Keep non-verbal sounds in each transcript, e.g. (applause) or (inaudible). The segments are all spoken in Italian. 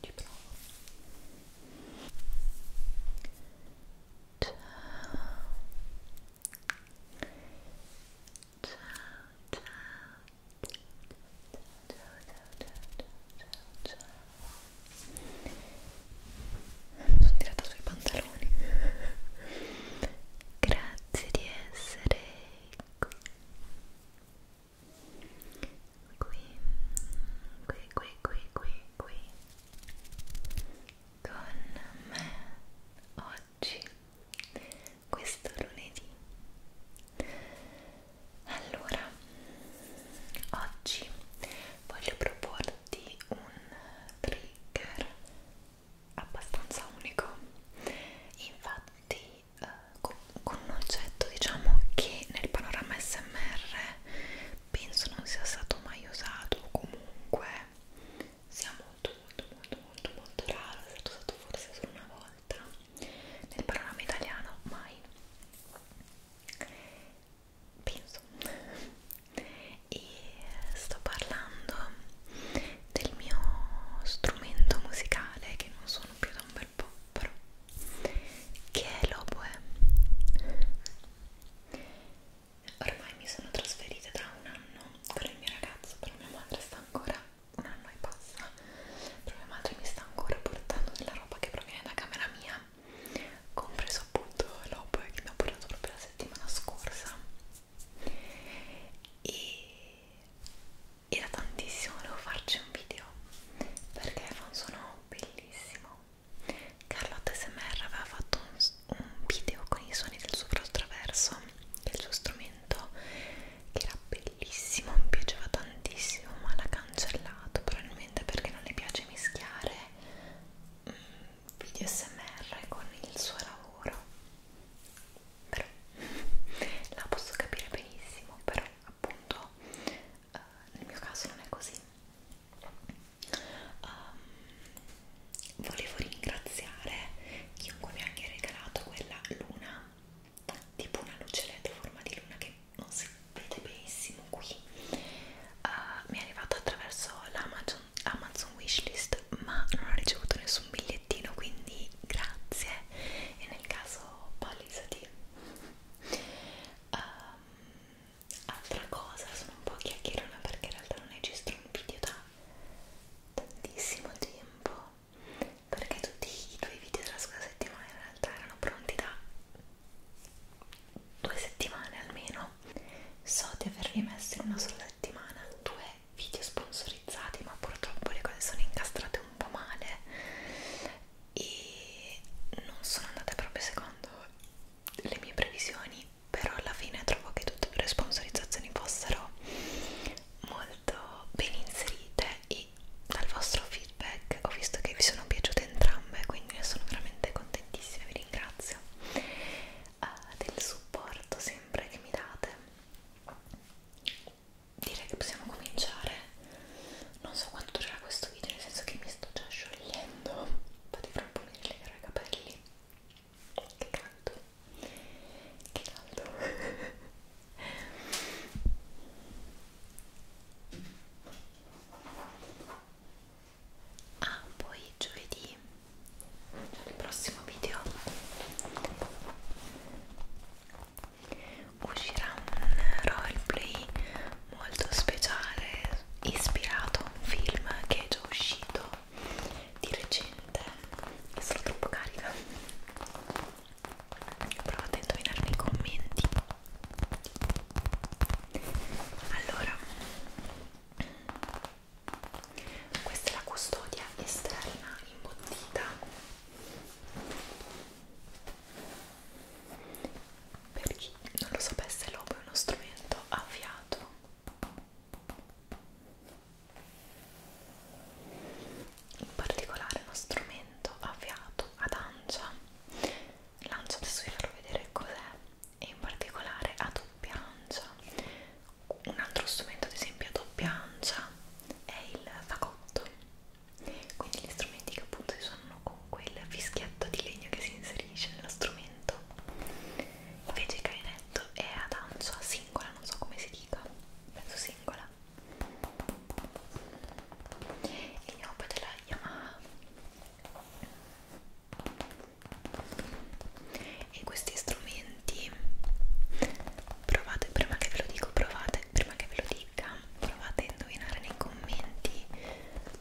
ci provo ciao ciao ciao ciao ciao ciao ciao ciao sono tirata sui pantaloni grazie di essere qui qui, qui, qui, qui, qui, qui con me oggi, questo lunedì allora, oggi voglio proporti un trigger abbastanza unico infatti eh, con, con un oggetto diciamo che nel panorama smr penso non sia stato mai usato comunque sia molto molto molto molto molto raro è stato usato forse solo una volta nel panorama italiano mai penso e sto parlando del mio strumento musicale che non sono più da un super pompero che è l'oboe eh? ormai mi sono trasferita da un anno con il mio ragazzo però mia madre sta ancora un anno e passa però mia madre mi sta ancora portando della roba che proviene da camera mia compreso appunto l'oboe eh, che mi ha portato proprio la settimana scorsa e era tantissimo, volevo farci un video perché fa un suono bellissimo Carlotta SMR aveva fatto un, un video con i suoni del suo prostraverso che è il suo strumento che era bellissimo, mi piaceva tantissimo ma l'ha cancellato probabilmente perché non le piace mischiare mm, video SMR con il suo lavoro però (laughs) la posso capire benissimo però appunto uh, nel mio caso non è così um, volevo ringraziare chiunque mi abbia regalato quella luna tipo una luce led a forma di luna che non si vede benissimo qui uh, mi è arrivata attraverso l'Amazon Amazon wishlist ma non ho ricevuto nessun bigliettino quindi grazie e nel caso pallisati Um, altra cosa, sono un po' chiacchierona perché in realtà non registro un video da tantissimo tempo perché tutti i tuoi video della scorsa settimana in realtà erano pronti da due settimane almeno so di avervi messo in una sola settimana due video sponsorizzati ma purtroppo le cose sono incastrate un po' male e non sono andate proprio secondo le mie previsioni però alla fine trovo che tutte le sponsorizzazioni fossero molto ben inserite e dal vostro feedback ho visto che vi sono piaciute entrambe quindi ne sono veramente contentissima vi ringrazio uh, del supporto sempre che mi date direi che possiamo cominciare non so quanto durerà questo video nel senso che mi sto già sciogliendo vado a proporre di legare i capelli che caldo che caldo (laughs) ah poi giovedì nel prossimo video uscirà un roleplay molto speciale ispirato a un film che è già uscito di recente e sono troppo carica provate a indovinare nei commenti allora questa è la custodia esterna imbottita per chi non lo sapesse, l'obo è uno strumento a fiato in particolare uno strumento a fiato ad ancia l'ancia adesso vi farò vedere cos'è e in particolare a doppia ancia un altro strumento ad esempio a doppia ancia è il fagotto quindi gli strumenti che appunto si suonano con quel fischietto di legno che si inserisce nello strumento invece il cainetto è ad ancia singola, non so come si dica penso singola il nome della Yamaha e questi strumenti provate prima che ve lo dico, provate prima che ve lo dico fatica provate a indovinare nei commenti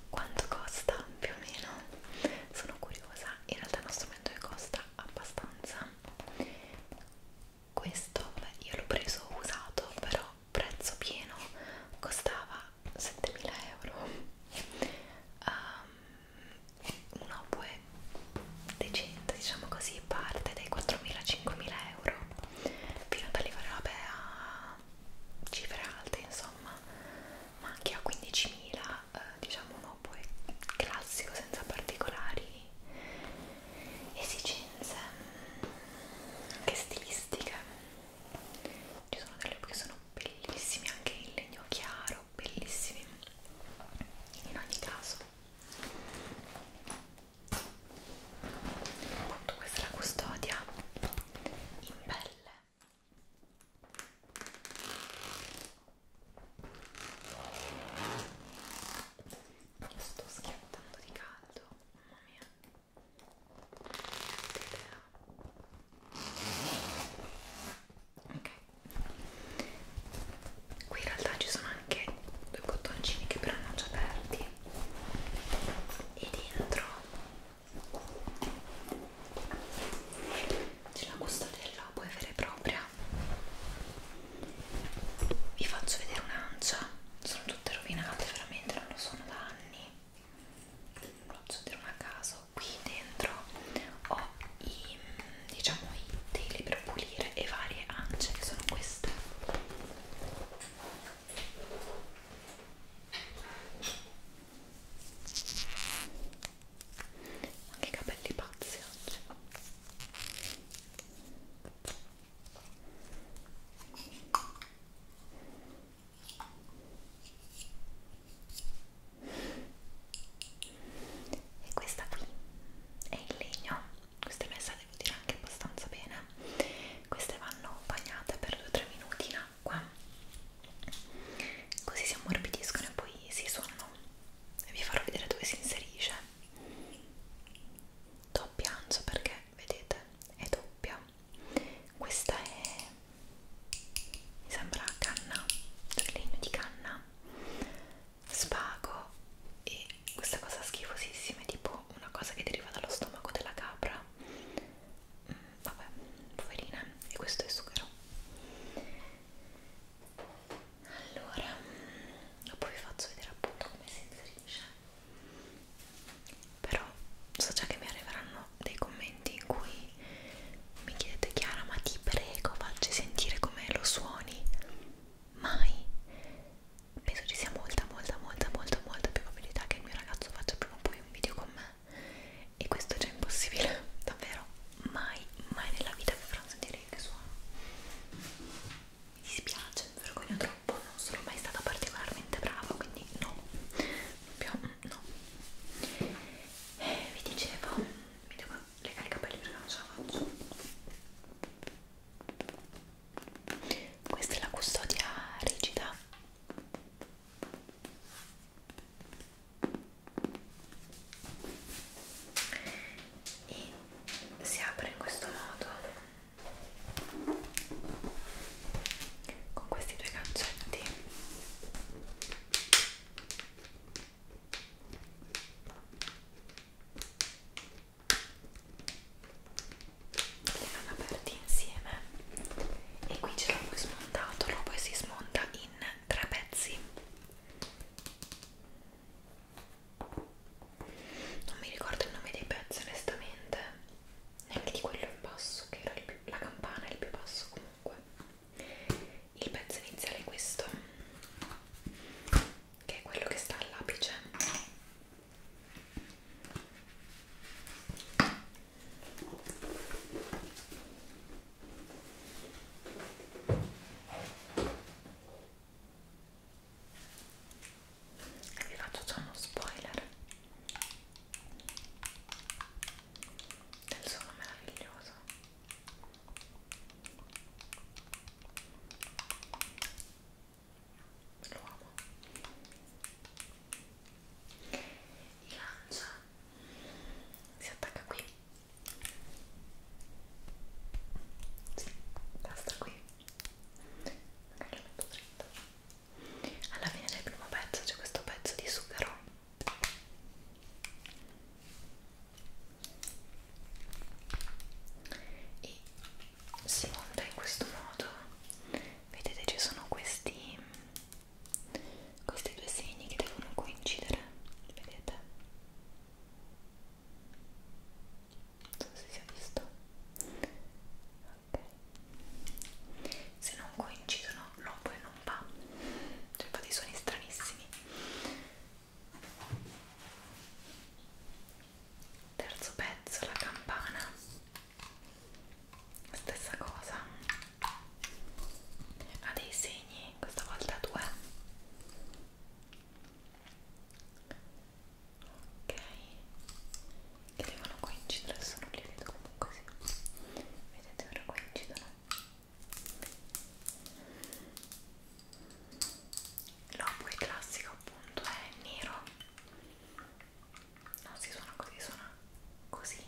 quanto costa più o meno sono curiosa in realtà è uno strumento che costa abbastanza questo vabbè, io l'ho preso usato però prezzo pieno costava 7000 euro um, ehm, un oboe decente diciamo così parte dai 4.000-5.000 euro fino ad arrivare vabbè a cifre alte insomma ma anche a 15.000 eh, diciamo un oboe classico senza particolari esigenze mm, anche stilistiche ci sono delle che sono bellissime anche in legno chiaro bellissimi in ogni caso Appunto, questa è la custodia in pelle. Io sto schiattando di caldo, mamma mia. Ok, qui in realtà ci sono anche due bottoncini che però non ci aperti e dentro c'è la custodella puoi avere propria vi faccio vedere un'ancia sono tutte rovinate veramente non lo sono da anni vi faccio vedere una caso qui dentro ho i diciamo i teli per pulire e varie ance che sono queste anche i capelli pazzi oggi e questa qui è in legno questa è messa devo dire anche abbastanza bene queste vanno bagnate per 2-3 minuti in acqua così si ammorbidiscono e poi si suonano e vi farò vedere dove si inserisce doppia anzo perché vedete è doppia questa è mi sembra canna cioè legno di canna spago e questa cosa schifosissima tipo mangiato una cosa che deriva dallo stomaco della capra mm, vabbè, poverina e questo è sughero allora poi vi faccio vedere appunto come si inserisce però so già che mi arriveranno dei commenti in cui mi chiedete Chiara ma ti prego facci sentire come lo suoni mai penso ci sia molta molta molta molta molta più probabilità che il mio ragazzo faccia prima o poi un video con me e questo è già impossibile (laughs) davvero mai mai nella vita vi farò sentire il che suono mi dispiace mi vergogno troppo non sono mai stata particolarmente brava quindi no proprio no eh, vi dicevo mi devo legare i capelli perché non ce la faccio questa è la custodia rigida e si apre in questo modo con questi due gancetti vanno aperti insieme e qui ce l'ho poi smontato, lo poi si smonta in tre pezzi non mi ricordo il nome dei pezzi onestamente neanche di quello in basso che era il più, la campana è il più basso comunque il pezzo iniziale è questo che è quello che sta all'apice vi faccio già uno spoiler del suono meraviglioso lo amo il lancia si attacca qui sì, basta qui magari lo metto dritto alla fine del primo pezzo c'è questo pezzo di sughero e si monta in questo modo vedete ci sono questi questi due segni che devono coincidere vedete non so se si è visto ok se non coincidono l'oboe non va cioè fa dei suoni stranissimi terzo pezzo la campana stessa cosa ha dei segni questa volta due ok che devono coincidere sono li vedo comunque sì. vedete ora coincidono l'opo classico appunto è nero non si suona così, suona così,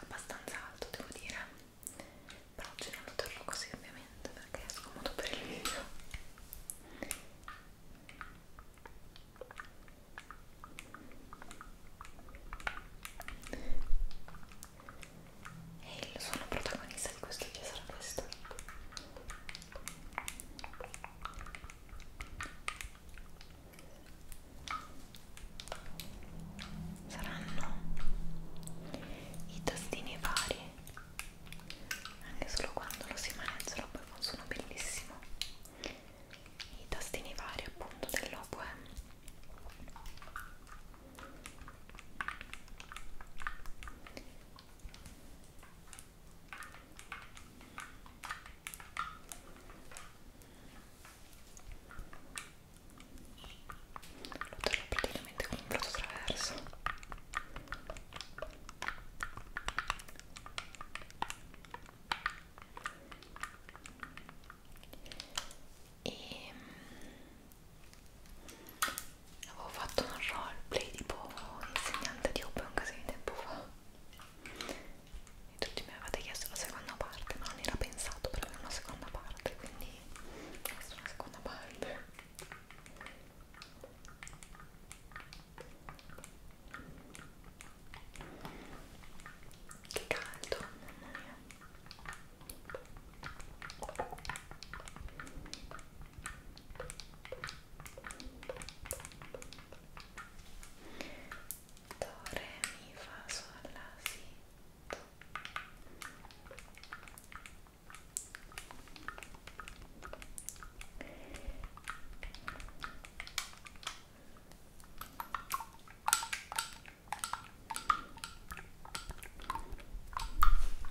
abbastanza alto devo dire, però oggi non lo terrò così ovviamente perché è scomodo per il video. E il suono protagonista di questo video sarà questo saranno i tostini vari anche solo quando lo si maneggia poi funziona bellissimo i tostini vari appunto dell'Oboe lo terrò praticamente con un brodo attraverso. E mm, avevo fatto un roleplay tipo insegnante di open un casino di tempo fa e tutti mi avevate chiesto la seconda parte ma non era pensato per avere una seconda parte quindi questa è una seconda parte che caldo mamma mia do, re, mi, fa, sol, la, si, do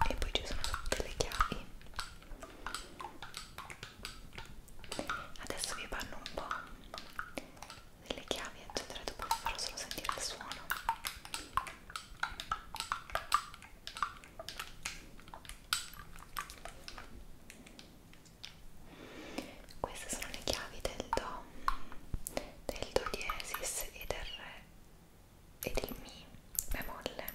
e poi ci sono tutte le chiavi adesso vi vanno un po' delle chiavi eccetera dopo vi farò solo sentire il suono queste sono le chiavi del do del do diesis e del re e del mi bemolle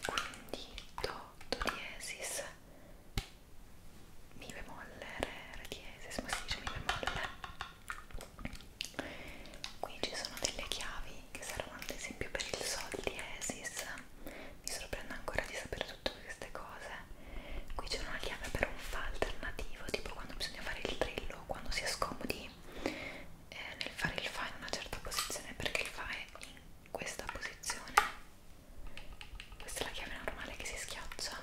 quindi do do diesis mi bemolle, re, re diesis, ma si dice mi bemolle qui ci sono delle chiavi che servono ad esempio per il sol diesis mi sorprende ancora di sapere tutte queste cose qui c'è una chiave per un fa alternativo tipo quando bisogna fare il trillo quando si è scomodi eh, nel fare il fa in una certa posizione perché il fa è in questa posizione questa è la chiave normale che si schiaccia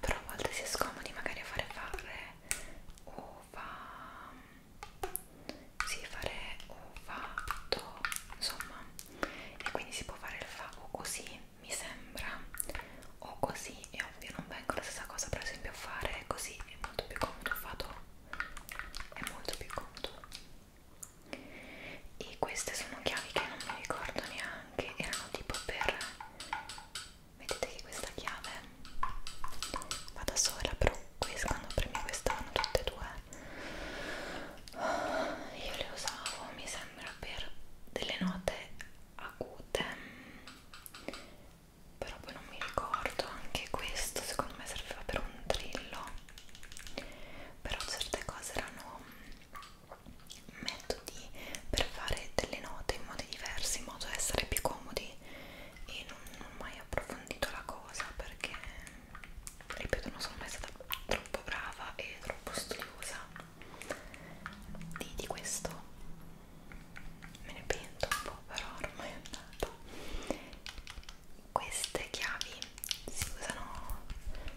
però a volte si è scomodi magari a fare fare o fa sì fare o fatto insomma e quindi si può fare il fa o così mi sembra o così è ovvio non vengo la stessa cosa per esempio a fare così è molto più comodo fatto è molto più comodo e queste sono chiavi che non mi ricordo neanche erano tipo per vedete che questa chiave va da sola però questa, quando premi questa vanno tutte e due io le usavo mi sembra per delle note acute però poi non mi ricordo anche questo secondo me serviva per un trillo però certe cose erano mm, metodi per fare delle note in modi diversi in modo da essere più comodi e non, non ho mai approfondito la cosa perché ripeto non sono mai stata troppo brava e troppo studiosa di, di questo me ne pento un po' però ormai è andata queste chiavi si usano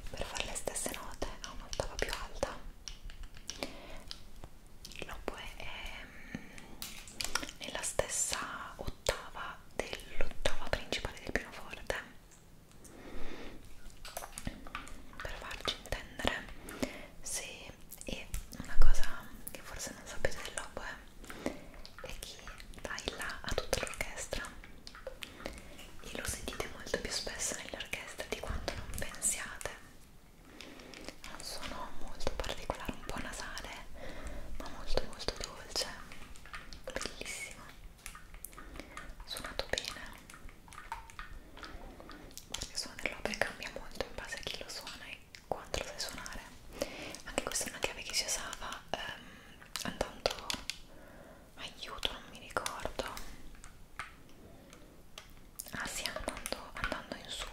per fare le stesse note a un'ottava più alta l'oboe è nella ehm, stessa ottava dell'ottava principale del pianoforte per farci intendere se e una cosa che forse non sapete dell'oboe e chi baila a tutta l'orchestra e lo sentite molto più spesso nelle orchestre di quanto non pensiate ha un suono molto particolare, un po' nasale ma molto molto dolce bellissimo suonato bene perché suono dell'opera cambia molto in base a chi lo suona e ecco quanto lo sai suonare anche questa è una chiave che si usava ehm, andando aiuto non mi ricordo ah sì andando, andando in su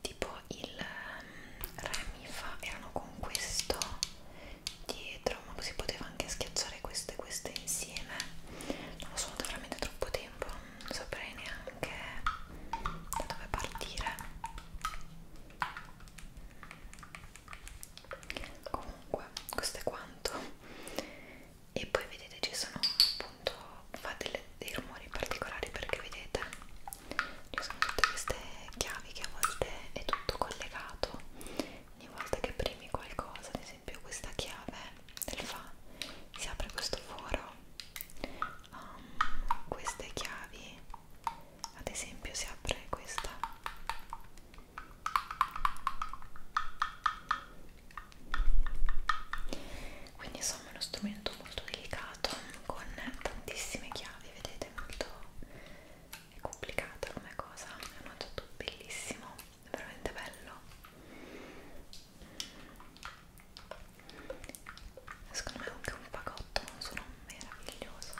tipo il ehm, re mi fa erano con questo dietro ma si poteva anche schiacciare queste e queste insieme non lo so veramente troppo tempo non saprei neanche da dove partire comunque questo è quanto e poi vedete ci sono appunto fa delle, dei rumori particolari perché vedete ci sono tutte queste chiavi che a volte è tutto collegato ogni volta che premi qualcosa ad esempio questa chiave del fa si apre questo foro um, queste chiavi ad esempio si apre questa quindi insomma è uno strumento molto delicato con tantissime chiavi vedete molto è complicata come cosa è un oggetto bellissimo veramente bello secondo me anche un pacotto un suono meraviglioso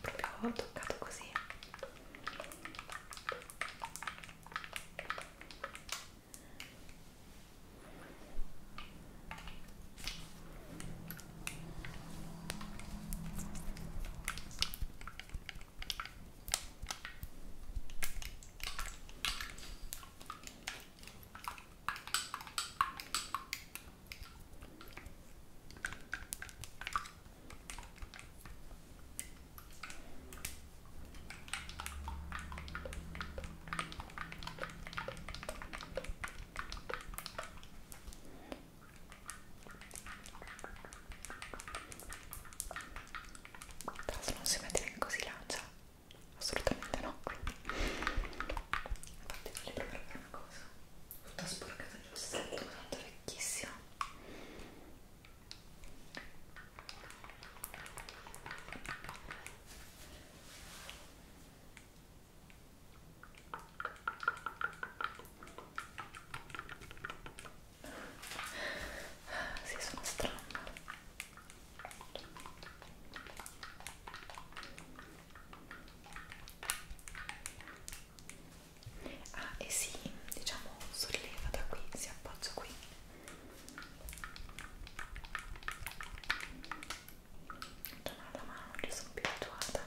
proprio toccato così però se non si mette neanche così lancia, assolutamente no. Quindi, infatti, voglio provare per una cosa cosa tutta sporcata di ossetto tanto vecchissima ah, si sì, sono strano ah e si diciamo solleva da qui si appoggia qui torna la mano non ci sono più abituata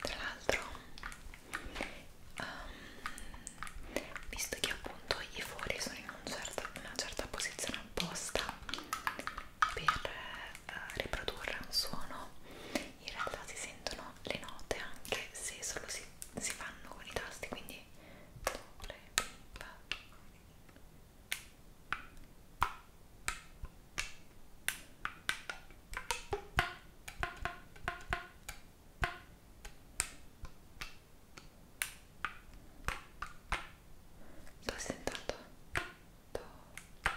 Tra l'altro, um, visto che appunto i fori sono in un certo, una certa posizione apposta per eh, riprodurre un suono, in realtà si sentono le note anche se solo si, si fanno con i tasti quindi dole, Sto sentando do, do, do,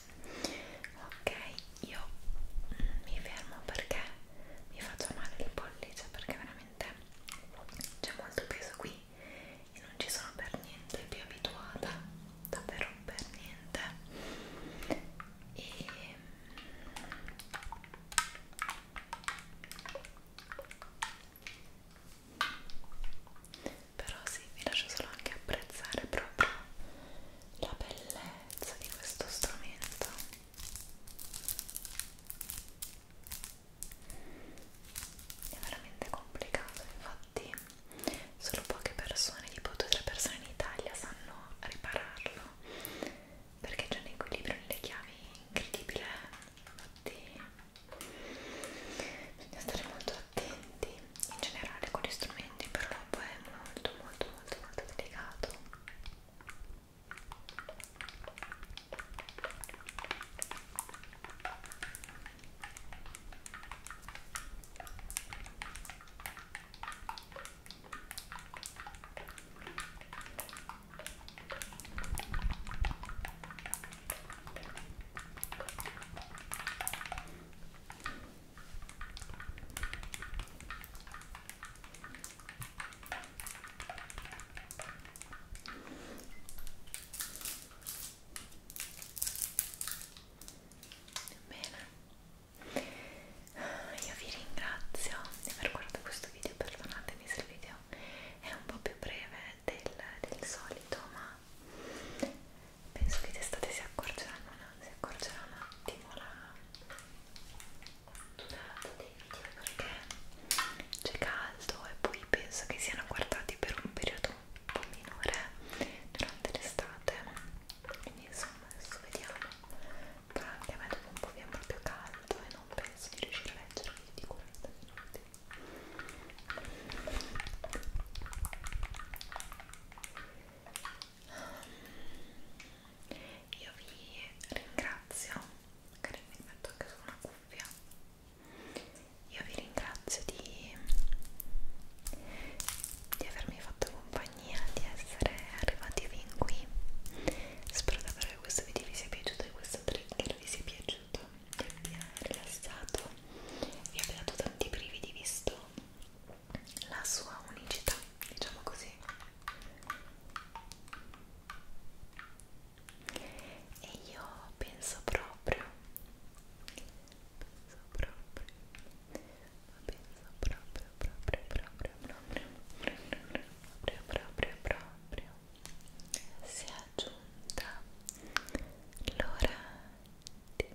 ok io mi fermo perché mi faccio male il pollice perché veramente c'è molto peso qui e non ci sono per niente più abituata davvero per niente e però sì, vi lascio solo anche apprezzare proprio la bellezza di questo strumento è veramente complicato infatti solo poche persone tipo due o tre persone in Italia sanno ripararlo perché c'è un equilibrio nelle chiavi incredibile infatti bisogna stare molto attenti in generale con gli strumenti però è molto molto molto molto delicato Bene, io vi ringrazio di aver guardato questo video, perdonatemi se il video è un po' più breve del, del solito, ma penso che d'estate si accorgeranno si accorgerà un attimo la durata dei video perché c'è caldo e poi penso che siano guardati per un periodo un po' minore durante l'estate quindi insomma adesso vediamo però anche a me dopo un po' viene proprio caldo e non penso di riuscire a leggere più di 40 minuti Um, io vi ringrazio magari mi metto anche su una cuffia io vi ringrazio di, di avermi fatto compagnia di essere arrivati fin qui spero davvero che questo video vi sia piaciuto e questo trigger vi sia piaciuto vi abbia rilassato vi abbia dato tanti brividi visto la sua unicità, diciamo così. E io penso proprio, penso proprio, penso proprio, proprio, proprio, proprio, proprio, proprio, proprio, proprio, si è aggiunta l'ora di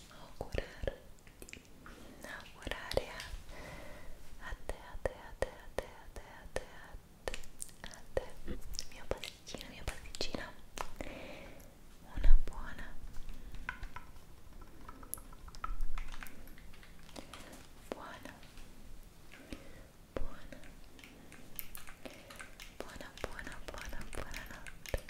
augurare augurare a te a te a te a te a te a te a te a te mio pasticcino mia pasticcina una buona buona buona buona buona buona buona buona notte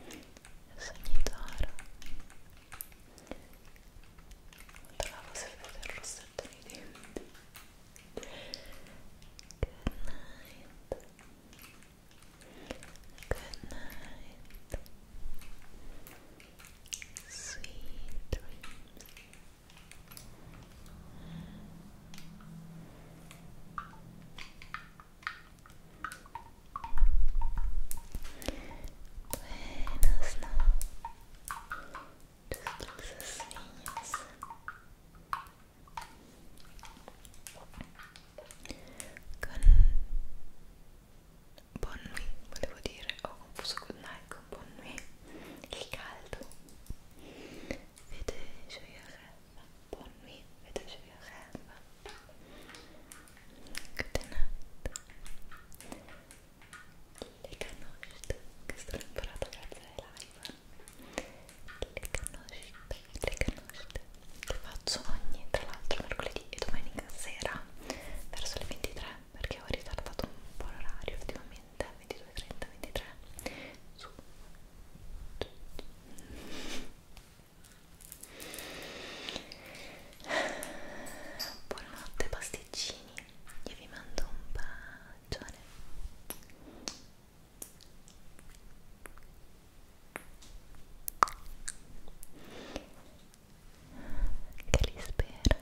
buonanotte sogni d'oro non trovavo sempre il rossetto nei denti good night good night sweet dreams Buenas noches, dulces niños. Con buon nuit, volevo dire, ho confuso con night con buon nuit, il caldo Vedeceğim. Bonne nuit. Vedeceğim. Good night. Le conoscete, che sto imparando grazie alle live. Le conoscete, le conoscete. Che faccio ogni, tra l'altro, mercoledì e domenica sera verso le 23 perché ho ritardato un po' l'orario ultimamente 22, 30, 23 su buonanotte pasticcini io vi mando un bacione che li spero